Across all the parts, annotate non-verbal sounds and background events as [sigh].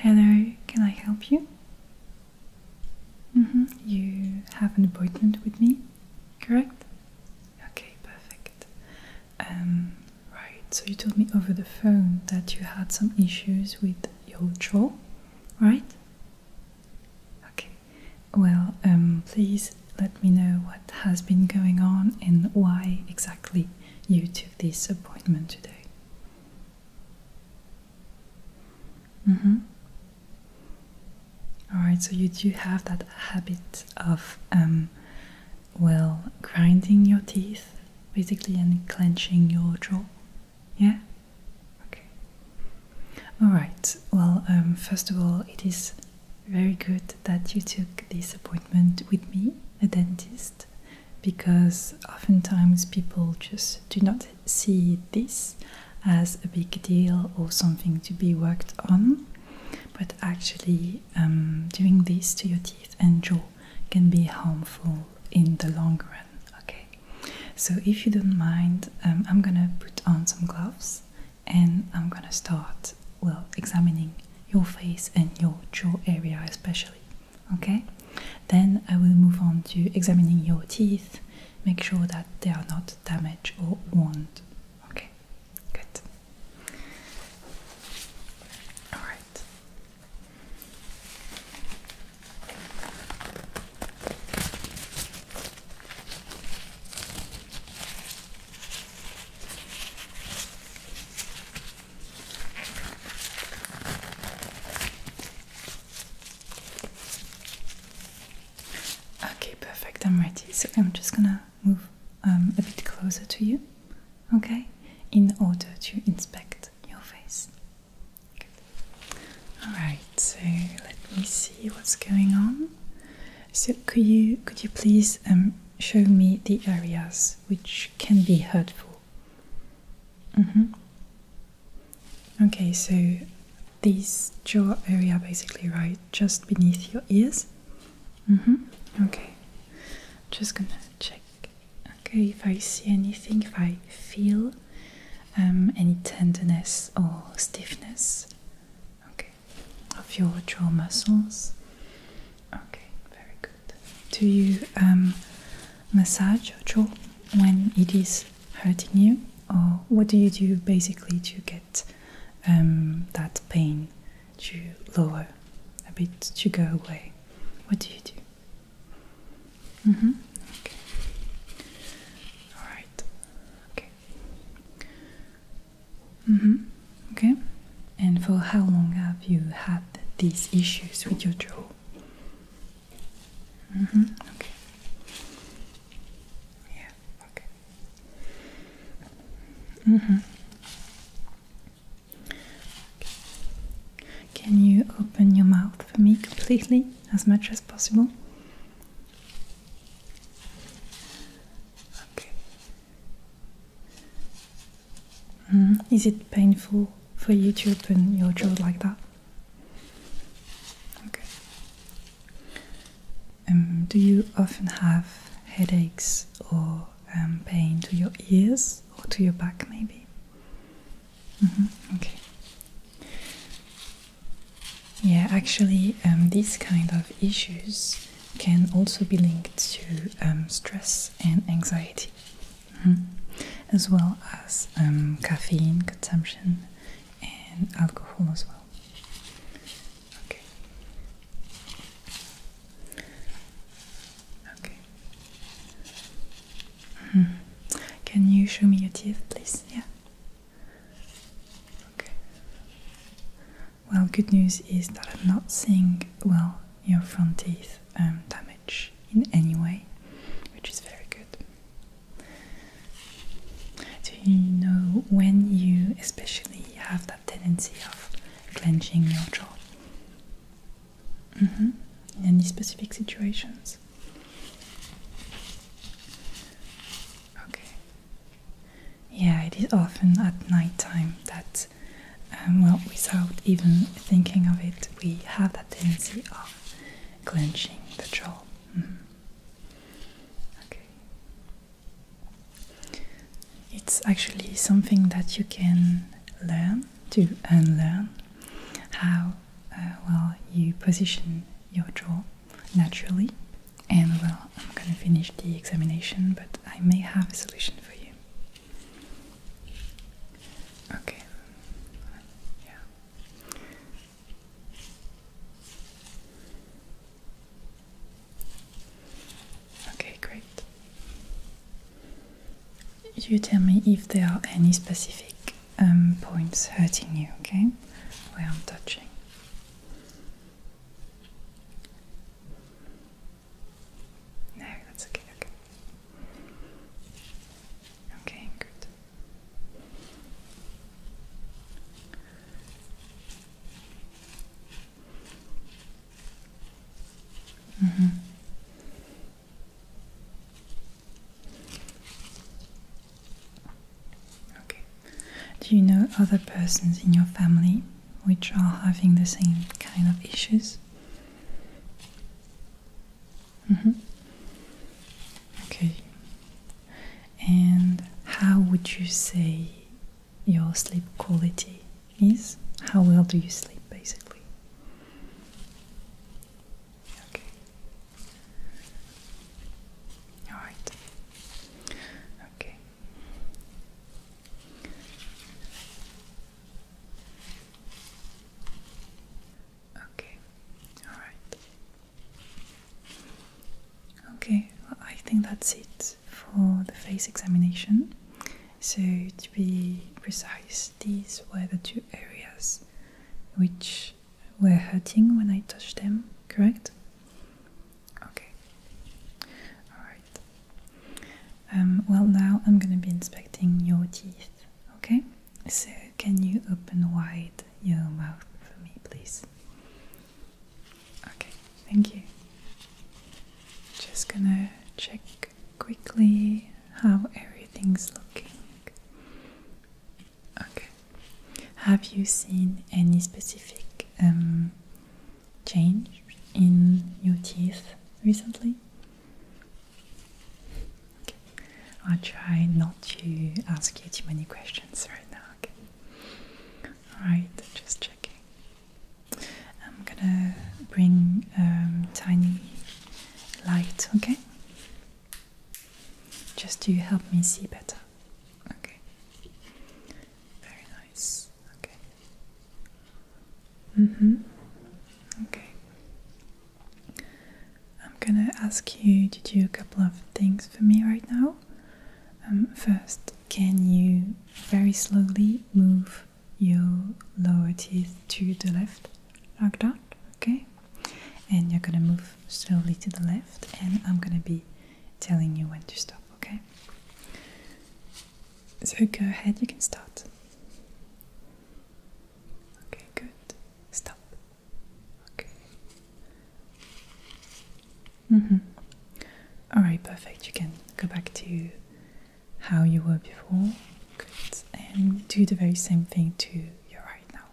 Hello, can I help you? Mm-hmm. You have an appointment with me, correct? Okay, perfect. Um, right, so you told me over the phone that you had some issues with your jaw, right? Okay, well, um, please let me know what has been going on and why exactly you took this appointment today. Mm -hmm. Alright, so you do have that habit of, um, well, grinding your teeth basically and clenching your jaw, yeah? Okay. All right. Well, um, first of all, it is very good that you took this appointment with me, a dentist, because oftentimes people just do not see this as a big deal or something to be worked on. But actually, um, doing this to your teeth and jaw can be harmful in the long run. Okay, so, if you don't mind, um, I'm gonna put on some gloves and I'm gonna start, well, examining your face and your jaw area, especially. Okay? Then I will move on to examining your teeth, make sure that they are not damaged or wound. Okay, good. Alright. Okay, perfect. I'm ready. So I'm just gonna move um, a bit closer to you, okay, in order to inspect your face. Alright, so let me see what's going on. So could you could you please um, show me the areas which can be hurtful? Mm-hmm. Okay, so this jaw area basically right just beneath your ears. Mm-hmm. Okay. Just gonna check. Okay, if I see anything, if I feel um, any tenderness or stiffness okay, of your jaw muscles. Okay, very good. Do you um, massage your jaw when it is hurting you, or what do you do basically to get um, that pain to lower a bit to go away? What do you do? Mm-hmm. Okay. All right. Okay. Mm-hmm. Okay. And for how long have you had these issues with your jaw? Mm-hmm. Okay. Yeah. Okay. Mm-hmm. Okay. Can you open your mouth for me completely? as much as possible. Okay. Hmm, is it painful for you to open your jaw like that? Okay. Um, do you often have headaches or um, pain to your ears or to your back, maybe? Mm-hmm. Yeah, actually, um, these kind of issues can also be linked to um, stress and anxiety, mm-hmm. as well as um, caffeine consumption and alcohol as well. Hmm. Can you show me your teeth, please? Yeah. Okay. Well, good news is that I'm not seeing well your front teeth um, damage in any way, which is very good. Do you know when you especially have that tendency of clenching your jaw? Mm-hmm. In any specific situations? Okay. Yeah, it is often at night time that, um, well, without even thinking of it, we have that tendency of clenching the jaw. Mm-hmm. Okay. It's actually something that you can learn to unlearn how uh, well you position your jaw naturally and well I'm gonna finish the examination but I may have a solution for you okay yeah Okay, great. You tell me if there are any specific um, points hurting you, okay? Where I'm touching. No, that's okay, okay. Okay, good. Mm -hmm. Okay. Do you know other persons in your family which are having the same kind of issues? Mm -hmm. Okay. And how would you say your sleep quality is? How well do you sleep basically? Okay. All right. Okay. Okay. All right. Okay. I think that's it for the face examination. So to be precise, these were the two areas which were hurting when I touched them, correct? Okay. Alright. Um, well, now I'm gonna be inspecting your teeth, okay? So, can you open wide your mouth for me, please? Okay, thank you. Just gonna check quickly how everything's looking. Okay. Have you seen any specific um, change in your teeth recently? Okay. I'll try not to ask you too many questions right now. Okay. Alright, just checking. I'm gonna bring a um, tiny light, okay? Just to help me see better. Okay. Very nice. Okay. Mhm. Mm okay. I'm gonna ask you to do a couple of things for me right now. Um, first, can you very slowly move your lower teeth to the left, like that? okay? And you're gonna move slowly to the left, and I'm gonna be telling you when to stop, okay? So go ahead, you can start. Okay, good. Stop. Okay. Mm-hmm. Alright, perfect. You can go back to how you were before. Good. And do the very same thing to you right now.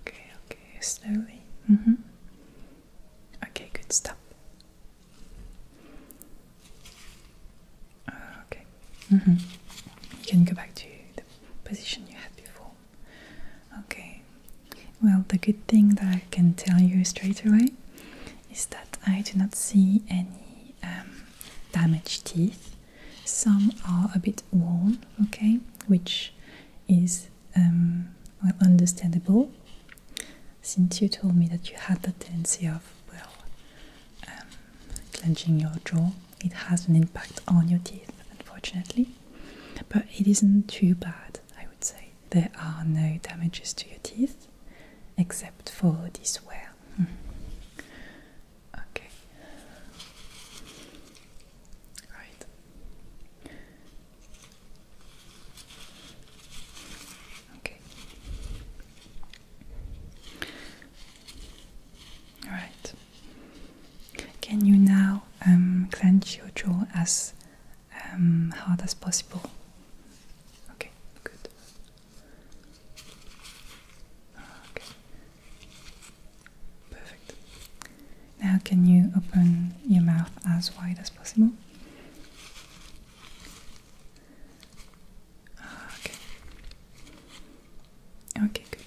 Okay, okay, slowly. Mm-hmm. Okay, good. Stop. okay. Mm-hmm. You can go back to the position you had before. Okay. Well, the good thing that I can tell you straight away is that I do not see any um, damaged teeth. Some are a bit worn, okay, which is um, understandable since you told me that you had the tendency of well um, clenching your jaw. It has an impact on your teeth, unfortunately, but it isn't too bad, I would say. There are no damages to your teeth except for this wear Hmm. okay. Right. Okay. All right. Can you now um, clench your jaw as um, hard as possible? Okay, good. Okay. Perfect. Now, can you open your mouth as wide as possible? Okay. Okay, good.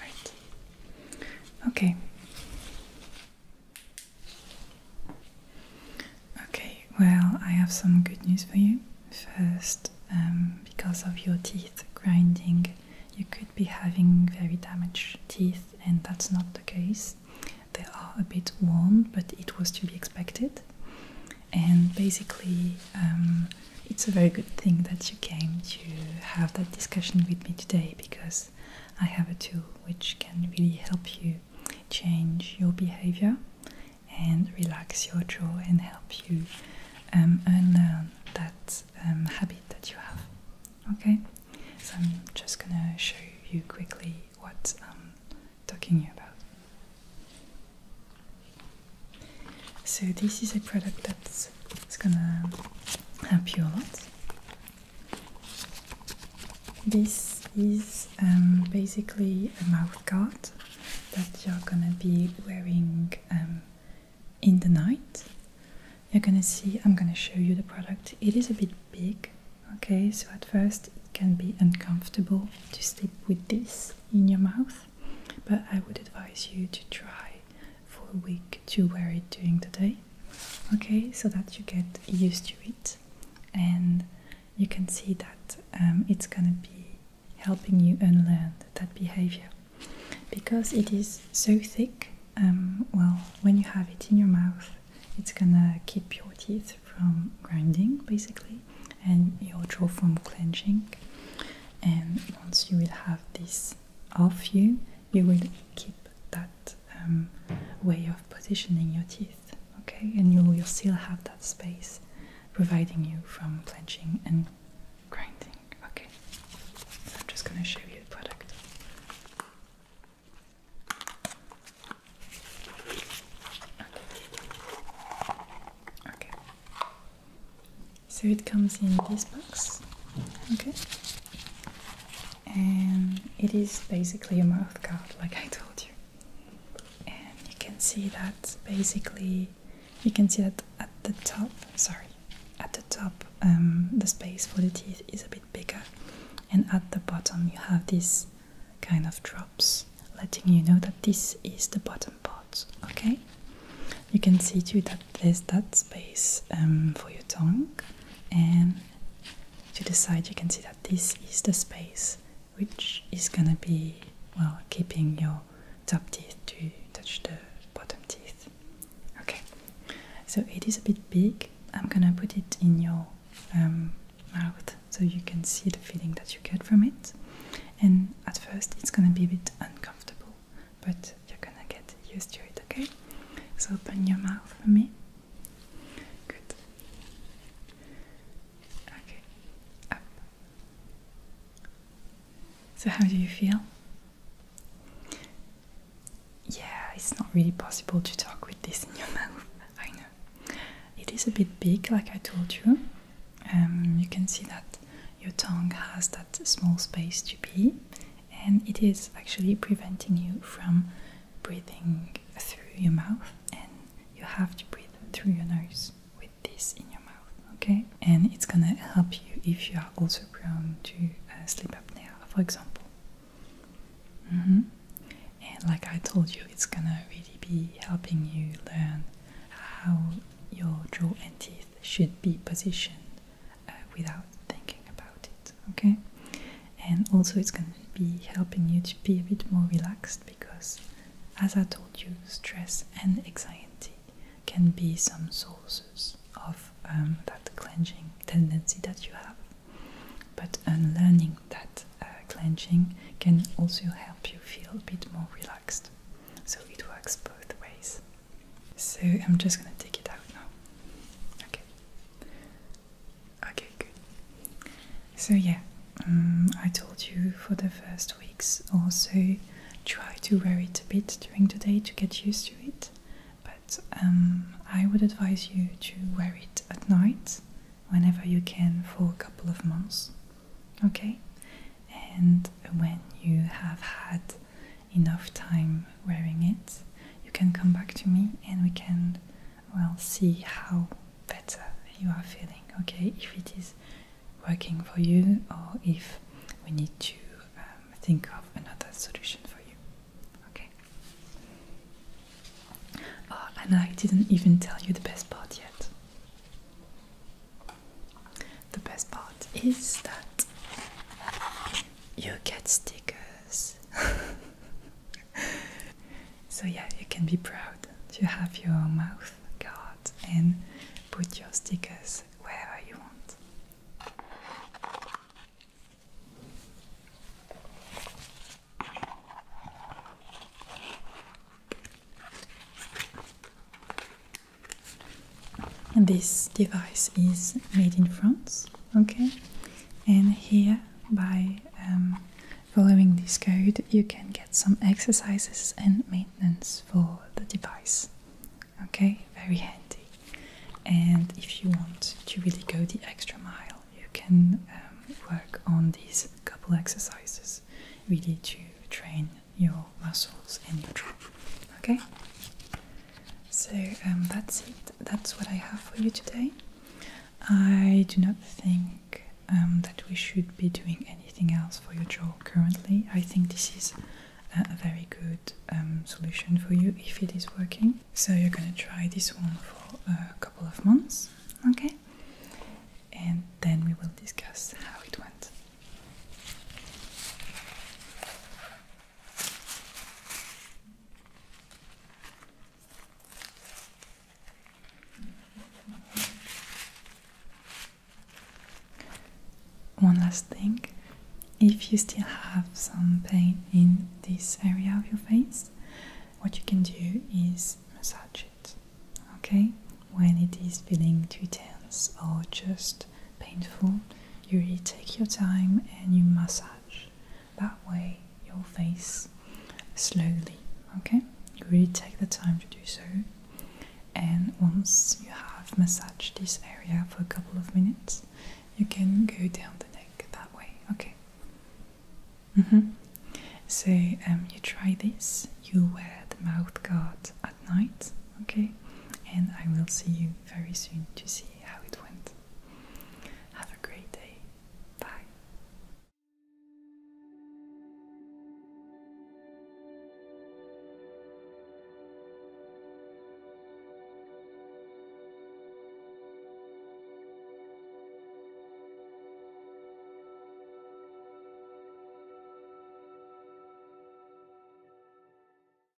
Right. Okay. Okay, well, I have some good news for you. First, um, because of your teeth grinding, you could be having very damaged teeth, and that's not the case. They are a bit worn, but it was to be expected. And basically, um, it's a very good thing that you came to have that discussion with me today because I have a tool which can really help you change your behavior and relax your jaw and help you um, unlearn that um, habit that you have. Okay, so I'm just gonna show you quickly what I'm talking about. So, this is a product that's gonna help you a lot. This is um, basically a mouthguard that you're gonna be wearing um, in the night. You're gonna see, I'm gonna show you the product. It is a bit big, okay? So at first it can be uncomfortable to sleep with this in your mouth, but I would advise you to try for a week to wear it during the day okay so that you get used to it and you can see that um, it's gonna be helping you unlearn that behavior because it is so thick um, well when you have it in your mouth it's gonna keep your teeth from grinding basically and your jaw from clenching and once you will have this off you you will keep that um, way of positioning your teeth, okay? And you will still have that space providing you from clenching and grinding, okay? I'm just gonna show you the product. okay. So it comes in this box, okay? and it is basically a mouthguard, like I told you and you can see that basically you can see that at the top sorry at the top um, the space for the teeth is a bit bigger and at the bottom you have these kind of drops letting you know that this is the bottom part okay you can see too that there's that space um, for your tongue and to the side, you can see that this is the space which is gonna be well keeping your top teeth to touch the bottom teeth okay so it is a bit big i'm gonna put it in your um, mouth so you can see the feeling that you get from it and at first it's gonna be a bit uncomfortable but you're gonna get get used to it, okay? So open your mouth for me. Good. Okay. So how do you feel? Yeah, it's not really possible to talk with this in your [laughs] mouth. I know. It is a bit big, like I told you. Um, you can see that your tongue has that small space to be and it is actually preventing you from breathing through your mouth and you have to breathe through your nose with this in your mouth okay and it's gonna help you if you are also prone to uh, sleep apnea for example mm-hmm. and like i told you it's gonna really be helping you learn how your jaw and teeth should be positioned uh, without thinking about it. Okay, and also it's going to be helping you to be a bit more relaxed because, as I told you, stress and anxiety can be some sources of um, that clenching tendency that you have. But unlearning that uh, clenching can also help you feel a bit more relaxed. So it works both ways. So I'm just gonna take it out now. Okay. Okay, good. So yeah, um, I told you for the first weeks also try to wear it a bit during the day to get used to it. But um, I would advise you to wear it at night whenever you can for a couple of months. Okay? And when you have had enough time wearing it, you can come back to me and we can, well, see how better you are feeling, okay? If it is working for you or if we need to um, think of another solution for you, okay? Oh, and I didn't even tell you the best part yet. The best part is that you get stickers. [laughs] so, yeah, you can be proud to have your mouth guard and put your stickers wherever you want this device is made in France, okay? And here, by um, following this code, you can get some exercises and maintenance for the device, okay? Very handy. And if you want to really go the extra mile, you can um, work on these couple exercises really to train your muscles and your trunk. okay? So um, that's it. That's what I have for you today. I do not think um, that we should be doing anything else for your jaw currently. I think this is a, very good um, solution for you if it is working. So you're gonna try this one for a couple of months, okay? And then we will discuss how it went. One last thing if you still have some pain in this area of your face, what you can do is massage it, okay? When it is feeling too tense or just painful, you really take your time and you massage. That way, your face slowly. Okay, you really take the time to do so. And once you have massaged this area for a couple of minutes, you can go down the neck that way. Okay. Mm -hmm. So um, you try this. You wear the mouth guard at night. Okay, and I will see you very soon to see how it went. Have a great day. Bye.